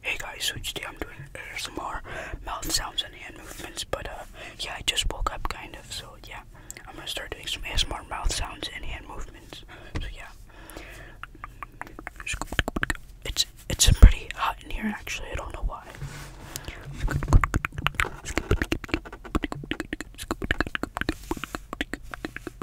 Hey guys, so today I'm doing ASMR mouth sounds and hand movements, but uh, yeah, I just woke up kind of, so yeah, I'm gonna start doing some more mouth sounds and hand movements, so yeah. It's, it's pretty hot in here actually, I don't know why.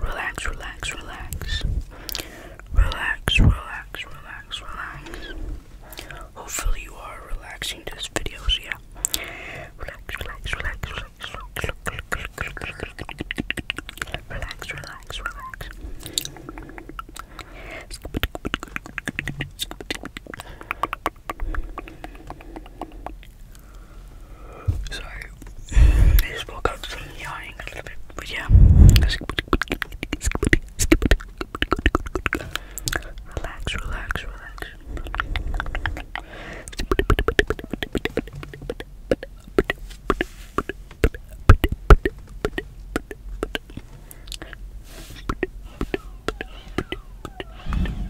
Relax, relax, relax. Relax, relax, relax, relax. Hopefully you are relaxing to this video, so yeah. Relax, relax, relax, relax, relax, relax, relax, relax. Sorry, just woke up from yawning a little bit, but yeah. Relax, relax, relax.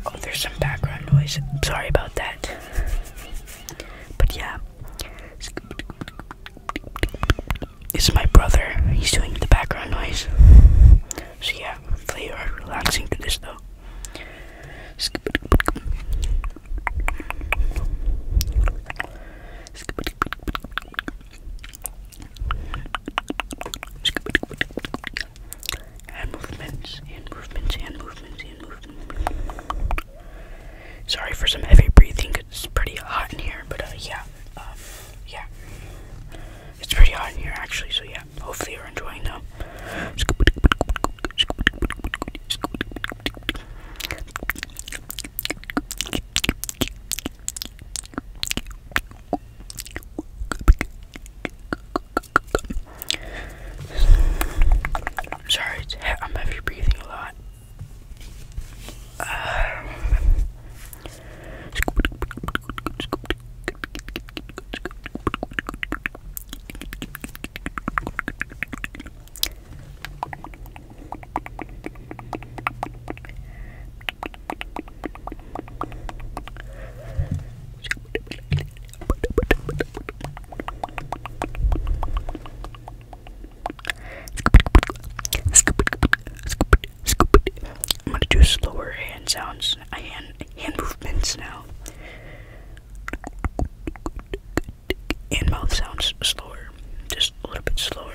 Oh, there's some background noise. Sorry about that. But yeah. It's my brother. He's doing the background noise. So yeah, hopefully you're relaxing to this though. Sorry for some heavy breathing. It's pretty hot in here, but uh, yeah, um, yeah. It's pretty hot in here actually, so yeah. Hopefully you're enjoying them. I'm sorry, I'm heavy breathing a lot. I'm gonna do slower hand sounds, uh, hand hand movements now, and mouth sounds slower, just a little bit slower.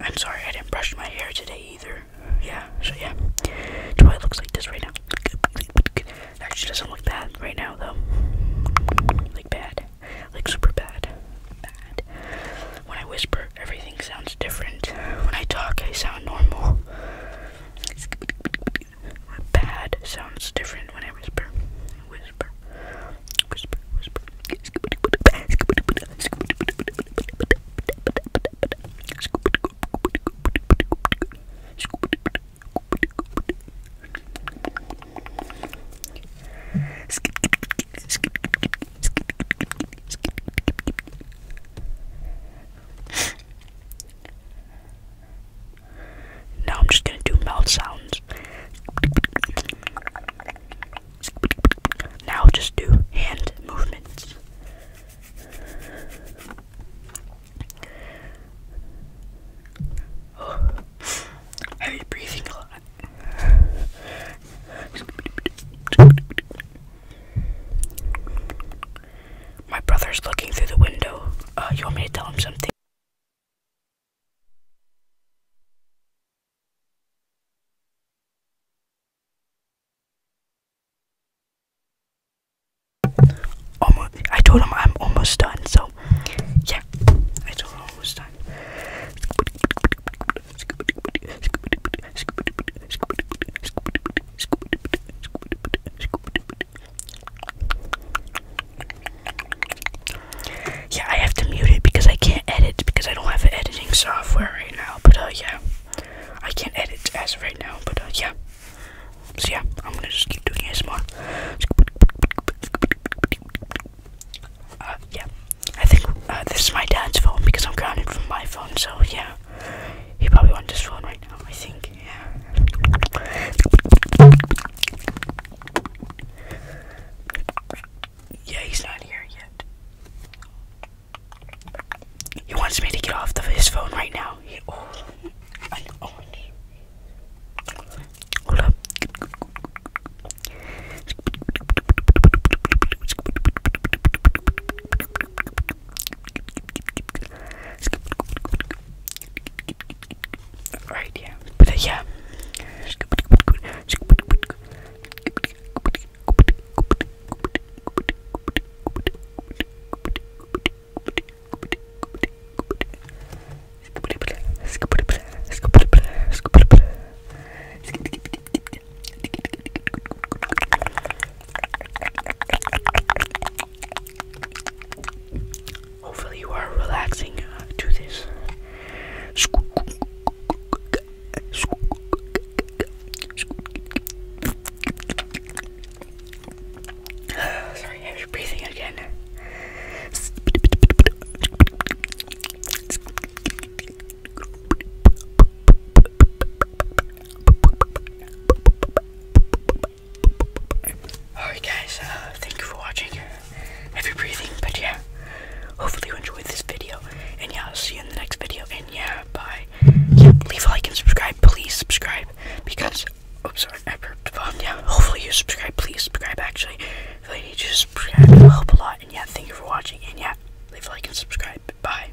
I'm sorry, I didn't brush my hair today either. Yeah, so yeah. That's why it looks like this right now. Actually, doesn't look bad right now though. Like bad, like super bad, bad. When I whisper, everything sounds different. When I talk, I sound normal. Bad sounds different when I whisper. Whisper. Now I'm just going to do mouth sounds. Now just do hand movements. Oh, heavy breathing a lot. My brother's looking through the window. Uh, you want me to tell him something? I told him I'm almost done, so yeah, I told him I'm almost done. Yeah, I have to mute it because I can't edit because I don't have editing software right now. But uh, yeah, I can't edit as of right now. But uh, yeah, so yeah, I'm gonna just keep doing this uh, more. yeah, I think uh, this is my dad's phone because I'm grounded from my phone. So yeah, he probably wants this phone right now. I think. Yeah, he's not here yet. He wants me to get off the, his phone right now. Oh, hold up. Alright, yeah. But uh, yeah. Hopefully, you are relaxing uh, to this. Sorry, I was breathing again. Alright guys, uh, thank you for watching. Heavy breathing, but yeah, hopefully you enjoyed this video. And yeah, I'll see you in the next video. And yeah, bye. leave a like and subscribe. Please subscribe because. Oh, sorry, I burped. Um, yeah, hopefully you subscribe. Please subscribe. Actually, if you just help a lot. And yeah, thank you for watching. And yeah, leave a like and subscribe. Bye.